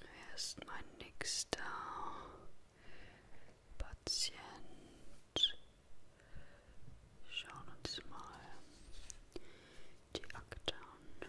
Wer ist mein nächster Patient? Schauen uns mal die Akte an.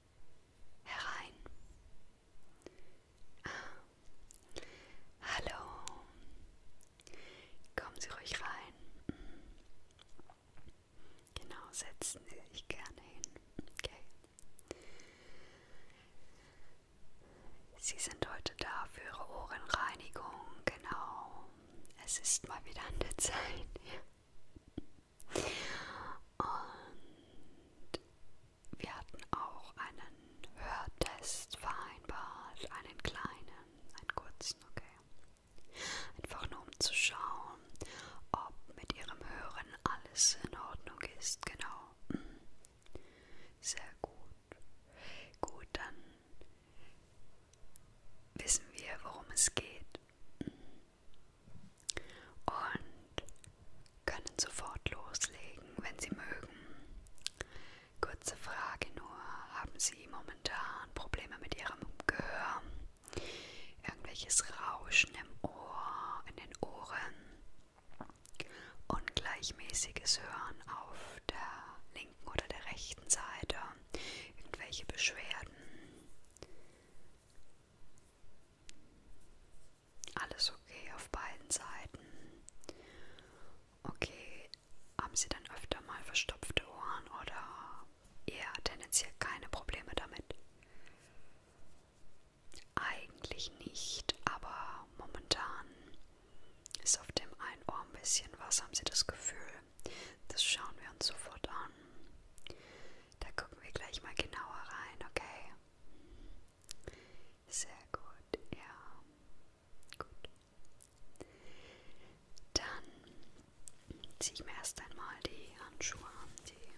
herein. Ah. Hallo, kommen Sie ruhig rein. Genau, setzen Sie sich gerne hin. Okay. Sie sind heute da für Ihre Ohrenreinigung, genau. Es ist mal wieder an der Zeit. Ja. Und wir hatten auch einen Hörtest vereinbart, einen kleinen, einen kurzen, okay. Einfach nur um zu schauen, ob mit ihrem Hören alles in Ordnung ist, genau. Mhm. Sehr gut. Gut, dann wissen wir, worum es geht. Mhm und können sofort loslegen, wenn Sie mögen. Kurze Frage nur, haben Sie momentan Probleme mit Ihrem Gehör? Irgendwelches Rauschen im Ohr, in den Ohren? Ungleichmäßiges Hören auf der linken oder der rechten Seite? Irgendwelche Beschwerden? Alles okay auf beiden Seiten. Okay, haben Sie dann öfter mal verstopfte Ohren oder eher tendenziell keine Probleme damit? Eigentlich nicht, aber momentan ist auf dem einen Ohr ein bisschen was, haben Sie das Gefühl? Das schauen wir uns sofort an. Da gucken wir gleich mal genauer rein, okay? Sehr gut, ja. Gut. Dann ziehe ich mir erst einmal die Handschuhe an, die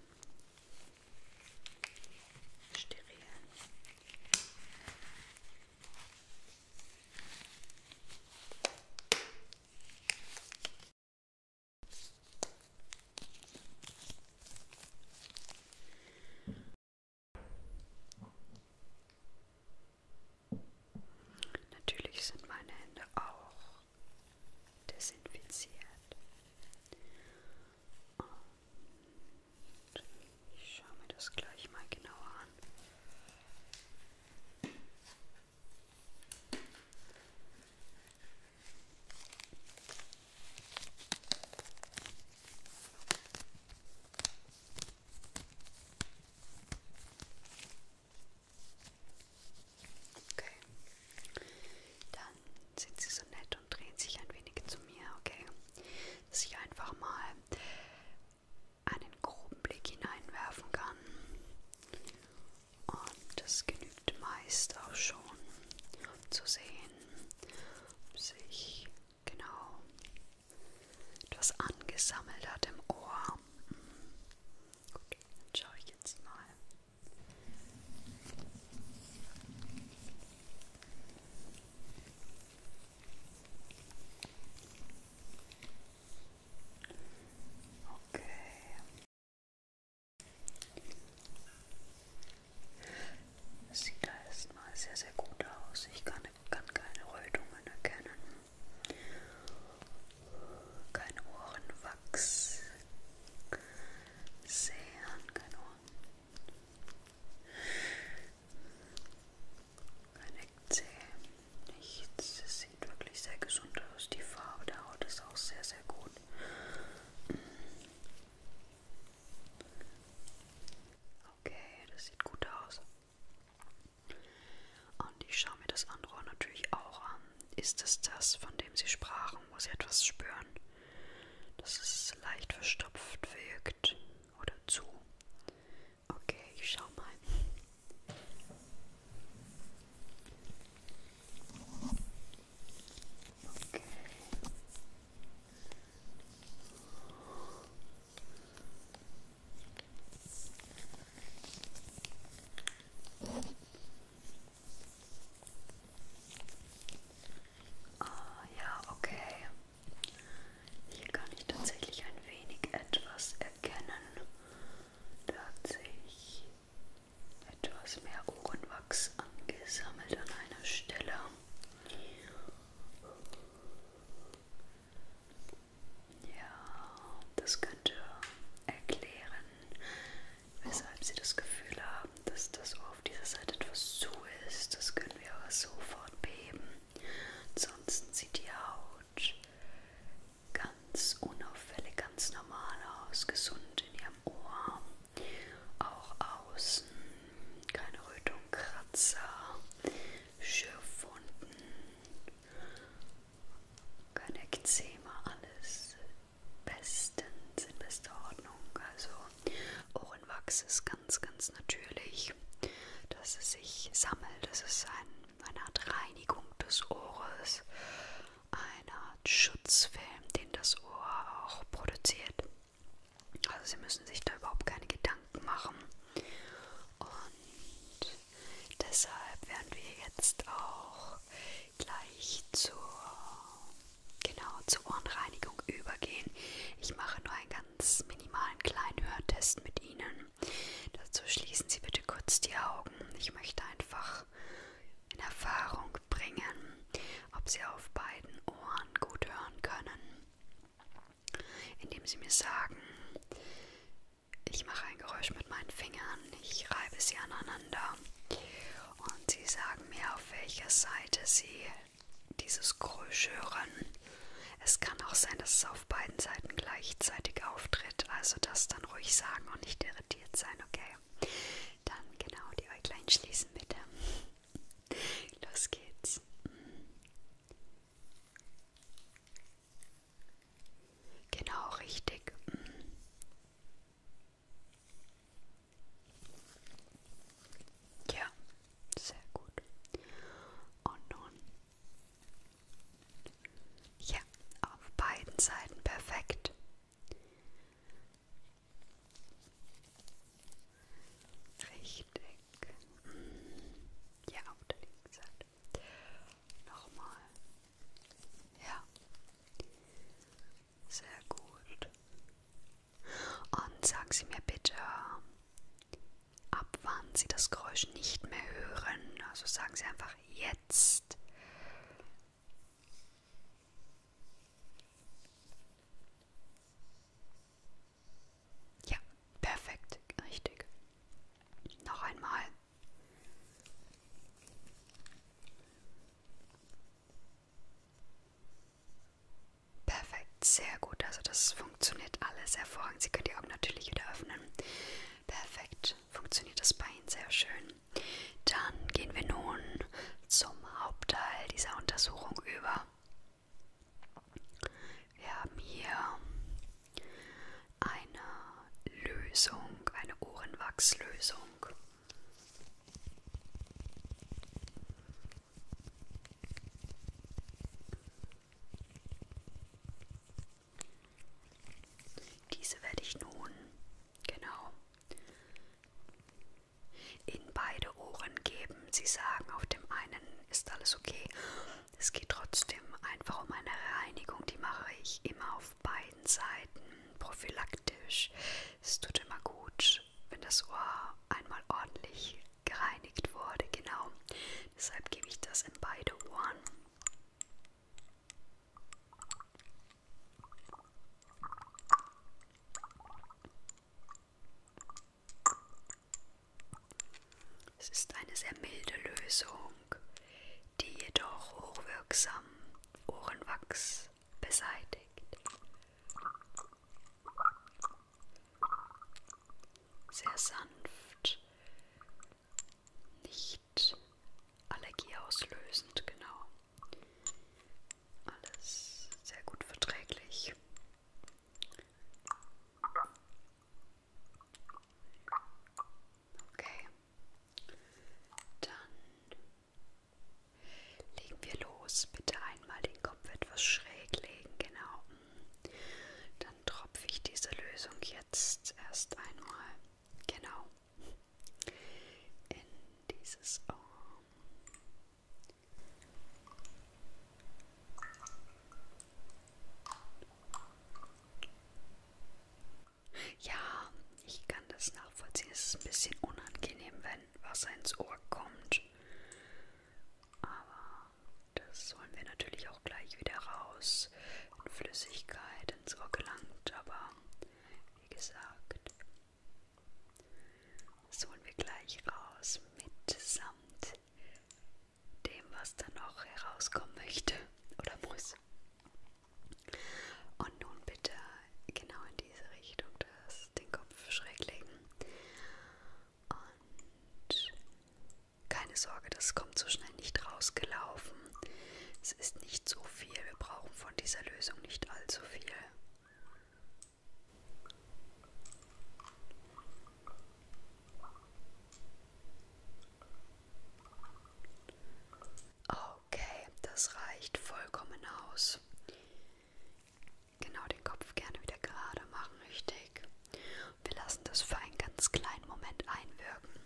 sterilen. Natürlich sind meine Hände auch desinfiziert. Und ich schaue mir das gleich mal genauer an. Okay. Dann sind Sie so nett und drehen sich ein wenig zu mir, okay? Dass ich einfach mal einen groben Blick hineinwerfen kann. Und das genügt meist auch schon, um zu sehen, ob sich genau etwas angesammelt hat im Ohr. Hm. Okay, dann schaue ich jetzt mal. Okay. Okay. Das sieht da erstmal sehr, sehr gut aus. Ich kann, kann keine Rötungen erkennen. Kein Ohrenwachs. Sehr kein Ohren. Kein Eckzähne nichts. Es sieht wirklich sehr gesund aus. Die Farbe der Haut ist auch sehr, sehr gut. Okay, das sieht gut aus. Und ich schaue mir das andere natürlich auch an. Ist es das, von dem Sie sprachen, wo Sie etwas spüren? Dass es leicht verstopft wirkt oder zu. Okay, ich schau mal. Okay. Ah, ja, okay. Hier kann ich tatsächlich ein wenig etwas erkennen. Da hat sich etwas mehr Ohrenwachs angesammelt an einer Stelle. Ja, das könnte erklären, weshalb Sie das Gefühl haben, dass das Ohr auf dieser Seite etwas zu ist. Das können wir aber sofort beheben. Ansonsten sieht die Haut ganz unauffällig, ganz normal aus, gesund in ihrem Ohr, auch außen, keine Rötung, Kratzer, Schürfwunden, kein Ekzema, alles bestens, in bester Ordnung. Also Ohrenwachs ist ganz, ganz natürlich, dass es sich sammelt, das ist ein eine Art Reinigung des Ohres, eine Art Schutzfilm, den das Ohr auch produziert. Also Sie müssen sich da überhaupt keine Gedanken machen. Und deshalb werden wir jetzt auch gleich zur, genau, zur Ohrenreinigung übergehen. Ich mache nur einen ganz minimalen kleinen Hörtest mit Ihnen. Dazu schließen Sie bitte kurz die Augen. Ich möchte einfach in Erfahrung bringen, ob Sie auf beiden Ohren gut hören können, indem Sie mir sagen, ich mache ein Geräusch mit meinen Fingern, ich reibe sie aneinander und Sie sagen mir, auf welcher Seite Sie dieses Geräusch hören. Es kann auch sein, dass es auf beiden Seiten gleichzeitig auftritt, also das dann ruhig sagen und nicht irritiert sein, okay? Dann genau die Äuglein schließen bitte. Los geht's. Genau richtig. Ja, sehr gut. Und nun ja, auf beiden Seiten perfekt. Richtig. Ja, auf der linken Seite. Nochmal. Ja. Sehr gut. Und sagen Sie mir bitte, ab wann sie das Geräusch nicht mehr hören. Also sagen sie einfach jetzt. Ja, perfekt, richtig. Noch einmal. Perfekt, sehr gut. Also das funktioniert alles hervorragend. Sie können die Augen natürlich wieder öffnen. Perfekt, funktioniert das bei Ihnen sehr schön. Dann gehen wir nun zum Hauptteil dieser Untersuchung über. Wir haben hier eine Lösung, eine Ohrenwachslösung. Diese werde ich nun genau in beide Ohren geben. Sie sagen, auf dem einen ist alles okay. Es geht trotzdem einfach um eine Reinigung. Die mache ich immer auf beiden Seiten prophylaktisch. Es tut immer gut, wenn das Ohr einmal ordentlich gereinigt wurde. Genau. Deshalb gebe ich das in beide Ohren. Es ist eine sehr milde Lösung, die jedoch hochwirksam Ohrenwachs beseitigt sehr sanft, nicht allergieauslösend, genau. Alles sehr gut verträglich. Okay, dann legen wir los. Bitte einmal den Kopf etwas schräg legen, genau. Dann dann tropfe ich diese Lösung jetzt erst einmal genau in dieses Ohr. Ja, ich kann das nachvollziehen. Es ist ein bisschen unangenehm, wenn Wasser ins Ohr kommt. Aber das holen wir natürlich auch gleich wieder raus, in Flüssigkeit, ins Ohr gelangt, aber wie gesagt, das holen wir gleich raus, mitsamt dem, was da noch herauskommen möchte oder muss. Und nun bitte genau in diese Richtung das, den Kopf schräg legen und keine Sorge, das kommt so schnell nicht rausgelaufen. Es ist nicht so viel. Wir brauchen von dieser Lösung nicht allzu viel. Okay, das reicht vollkommen aus. Genau den Kopf gerne wieder gerade machen, richtig. Wir lassen das für einen ganz kleinen Moment einwirken.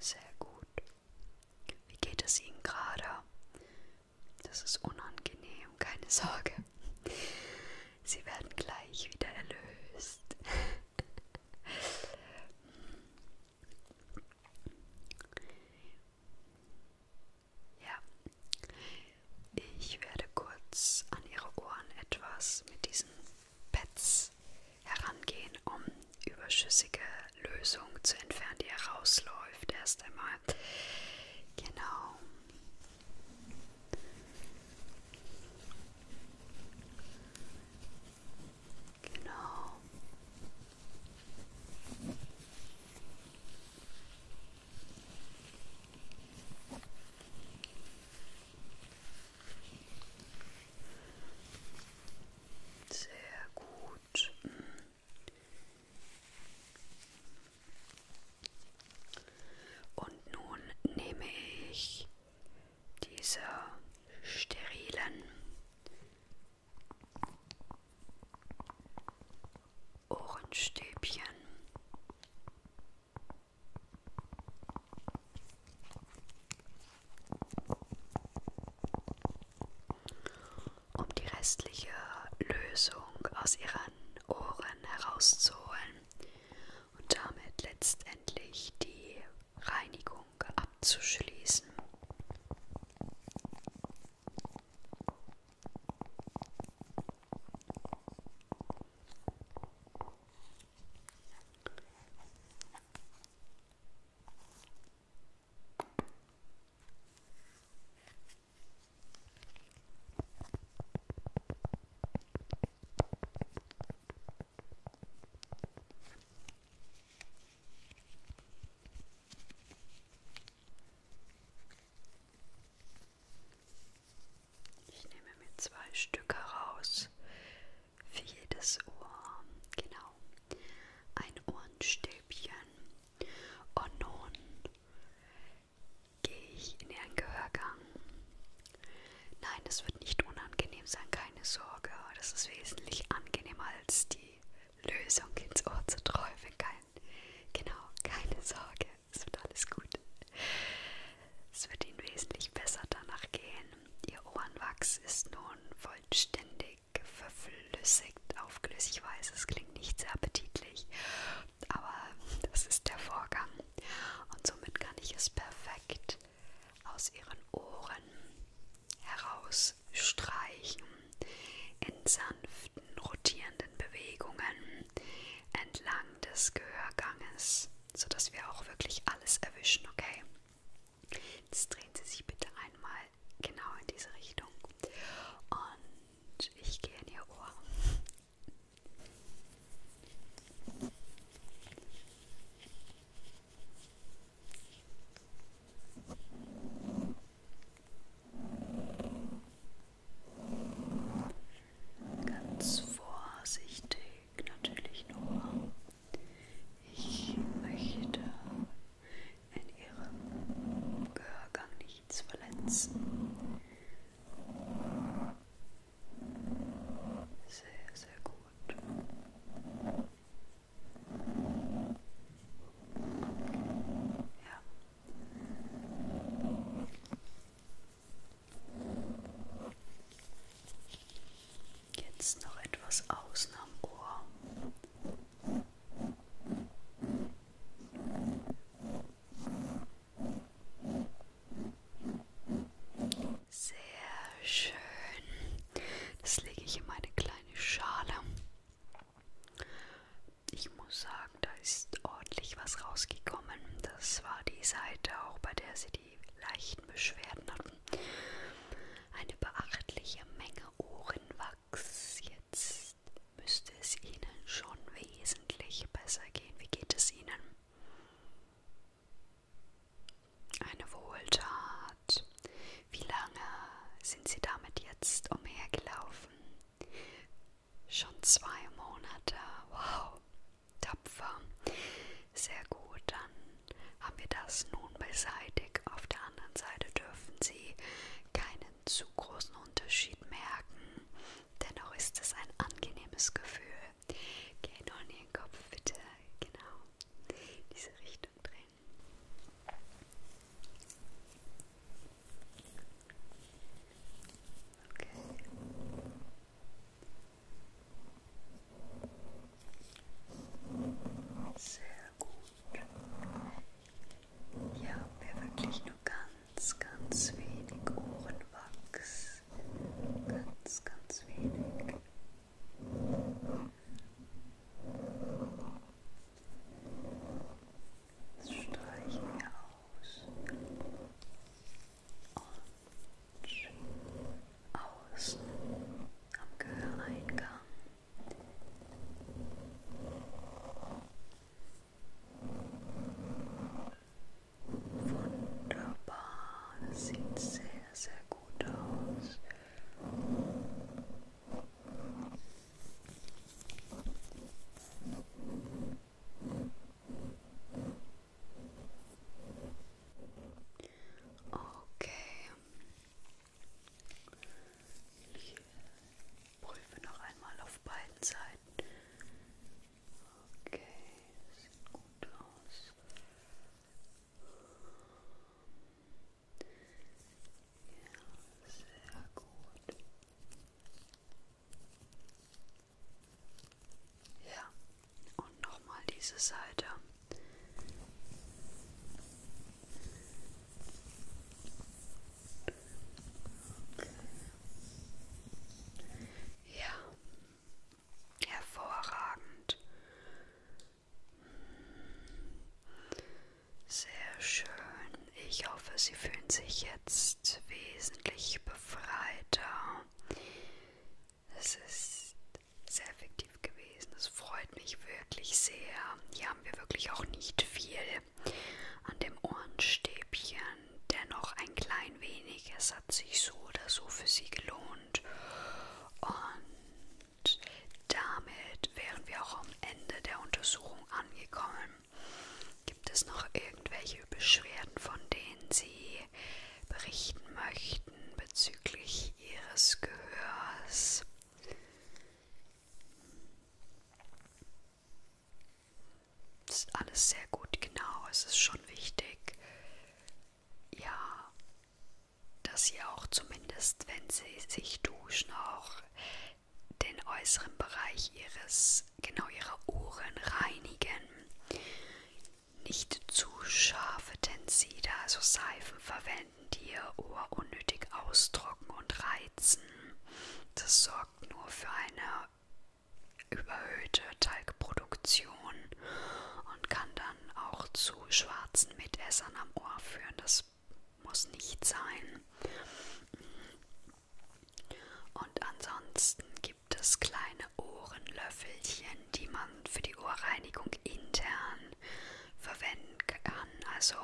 Sehr gut. Wie geht es Ihnen gerade? Das ist unangenehm, keine Sorge. Sie werden gleich wieder erlöst. ja, ich werde kurz an Ihre Ohren etwas mit diesen Pads herangehen, um überschüssige Lösung zu entfernen, die herausläuft erst einmal. Genau. Genau. Sehr gut gut. Und nun nehme ich diese sterilen Ohrenstäbchen um die restliche Lösung aus ihren Ohren herauszuholen und damit letztendlich die Reinigung abzuschließen. Ich nehme mir zwei Stücke raus, für jedes Ohr, genau, ein Ohrenstäbchen. Und oh nun gehe ich in Ihren Gehörgang. Nein, es wird nicht unangenehm sein, keine Sorge. Das ist wesentlich angenehmer als die Lösung ins Ohr zu träufeln. Kein, genau, keine Sorge, es wird alles gut. Es wird Ihnen wesentlich besser danach gehen. Ihr Ohrenwachs ist nun vollständig verflüssigt auf Glüssigweise. Es klingt nicht sehr appetitlich, aber das ist der Vorgang. Und somit kann ich es perfekt aus ihren Ohren herausstreichen in sanften, rotierenden Bewegungen entlang des Gehörganges, sodass wir auch wirklich alles erwischen, okay? Jetzt drehen Sie sich bitte einmal genau in diese Richtung. Und ich gehe in Ihr Ohr. Ganz vorsichtig, natürlich nur ich möchte in Ihrem Gehörgang nichts verletzen. Sehr, sehr gut. Ja. Jetzt noch etwas außen am Ohr. Sehr schön. Das lege ich in meine kleine Schale. Ich muss sagen, da ist ordentlich was rausgekommen. Das war die Seite auch, bei der sie die leichten Beschwerden hatten. Eine beachtliche Menge Ohrenwachs. Jetzt müsste es Ihnen schon wesentlich besser gehen. Wie geht es Ihnen? Eine Wohltat. Wie lange sind Sie damit jetzt umhergelaufen? Schon zwei Monate. Wow, tapfer. Sehr gut, dann haben wir das nun beseitigt. Auf der anderen Seite dürfen Sie keinen zu großen Unterschied merken. Dennoch ist es ein angenehmes Gefühl. Geh noch in Ihren Kopf, bitte. Genau. Diese Richtung drehen. Okay. Sehr gut. Hier haben wir wirklich nur ganz, ganz wenig Ohrenwachs. Ganz, ganz wenig. Das streichen wir aus. Und außen am Gehöreingang. Wunderbar, das sieht sehr, sehr gut aus. Okay. Ich prüfe noch einmal auf beiden Seiten. Okay, sieht gut aus. Ja, sehr gut. Ja, und nochmal diese Seite. Okay. Ja, hervorragend. Sehr schön. Ich hoffe, Sie fühlen sich jetzt wesentlich befreiter. Es ist sehr effektiv gewesen. Es freut mich wirklich sehr. Hier haben wir wirklich auch nicht viel an dem Ohrenstäbchen. Dennoch ein klein wenig. Es hat sich so oder so für sie gelohnt. Und damit wären wir auch am Ende der Untersuchung angekommen. Gibt es noch irgendwelche Beschwerden, von denen Sie berichten möchten bezüglich ihres Gehörs. Das ist alles sehr gut, genau. Es ist schon wichtig, ja, dass sie auch zumindest, wenn sie sich duschen, auch den äußeren Bereich ihres, genau ihrer Ohren reinigen nicht zu scharfe Tenside, also Seifen verwenden, die ihr Ohr unnötig austrocknen und reizen. Das sorgt nur für eine überhöhte Talgproduktion und kann dann auch zu schwarzen Mitessern am Ohr führen. Das muss nicht sein. Und ansonsten gibt gibt es kleine Ohrenlöffelchen, die man für die Ohrreinigung intern verwenden kann. Also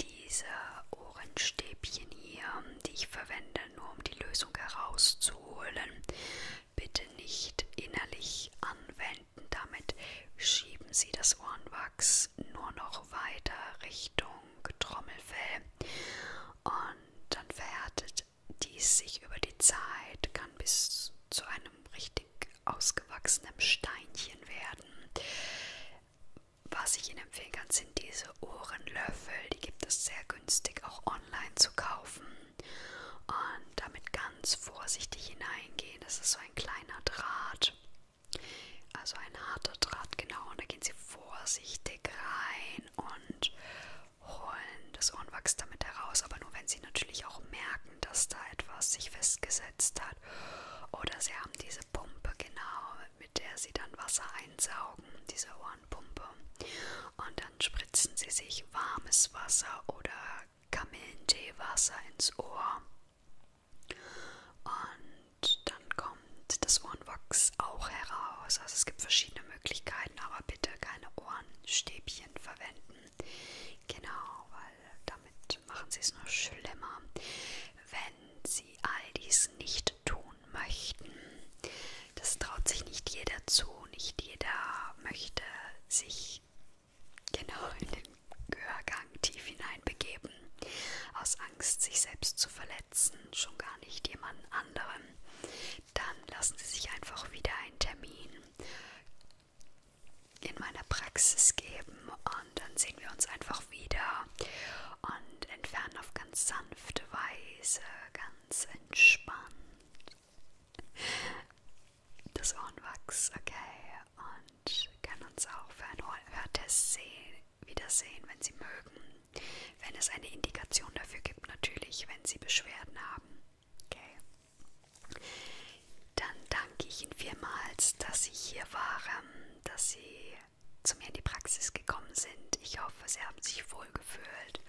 diese Ohrenstäbchen hier, die ich verwende, nur um die Lösung herauszuholen, bitte nicht innerlich anwenden. Damit schieben Sie das Ohrenwachs nur noch weiter Richtung Trommelfell und dann verhärtet und dies sich über die Zeit kann bis zu einem richtig ausgewachsenen Steinchen werden. Was ich Ihnen empfehlen kann, sind diese Ohrenlöffel. Die gibt es sehr günstig auch online zu kaufen. Und damit ganz vorsichtig hineingehen. Das ist so ein kleiner Draht. Also ein harter Draht, genau. Und da gehen Sie vorsichtig rein und holen das Ohrenwachs damit heraus, aber nur wenn sie natürlich auch merken, dass da etwas sich festgesetzt hat. Oder sie haben diese Pumpe genau, mit der sie dann Wasser einsaugen, diese Ohrenpumpe. Und dann spritzen sie sich warmes Wasser oder Kamillenteewasser ins Ohr. Und dann kommt das Ohrenwachs auch heraus. Also es gibt verschiedene Möglichkeiten, aber bitte keine Ohrenstäbchen verwenden. Genau, weil damit machen sie es nur schlimmer. Wenn sie all dies nicht tun möchten, das traut sich nicht jeder zu, nicht jeder möchte sich genau in den Gehörgang tief hineinbegeben, aus Angst, sich selbst zu verletzen, schon gar nicht jemand anderen dann lassen Sie sich einfach wieder einen Termin in meiner Praxis geben und dann sehen wir uns einfach wieder und entfernen auf ganz sanfte Weise, ganz entspannt das Ohrenwachs, okay, und können uns auch für einen Hörtest sehen, wiedersehen, wenn Sie mögen. Wenn es eine Indikation dafür gibt, natürlich, wenn Sie Beschwerden haben. Okay. Dann danke ich Ihnen vielmals, dass Sie hier waren, dass Sie zu mir in die Praxis gekommen sind. Ich hoffe, Sie haben sich wohl gefühlt.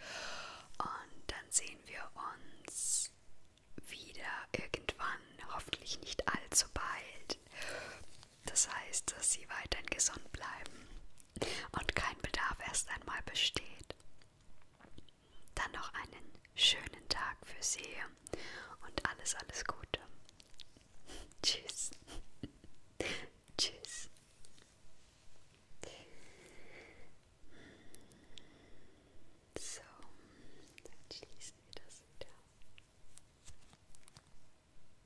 Und dann sehen wir uns wieder irgendwann, hoffentlich nicht allzu bald. Das heißt, dass Sie weiterhin gesund bleiben und kein Bedarf erst einmal besteht. Dann noch einen schönen Tag für Sie und alles, alles Gute. Tschüss. Tschüss. So, dann schließen wir das wieder.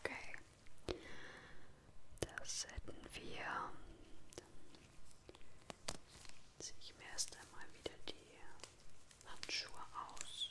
Okay, das hätten wir. Dann ziehe ich mir erst einmal wieder die Handschuhe aus.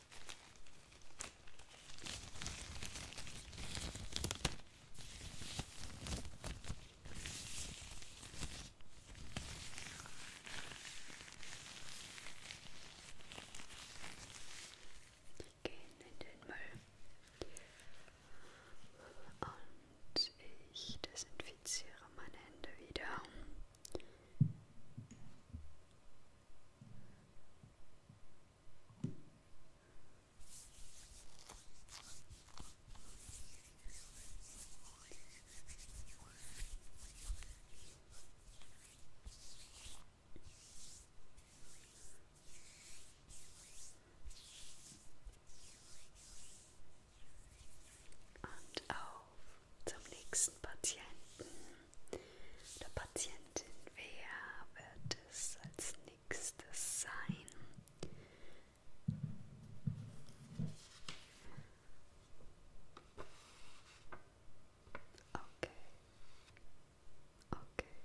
Gehen in den Müll. Und ich desinfiziere meine Hände wieder. Und auf zum nächsten Patienten der Patientin, wer wird es als nächstes sein? Okay. Okay. Okay.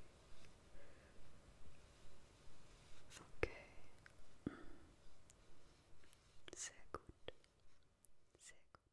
Sehr gut. Sehr gut.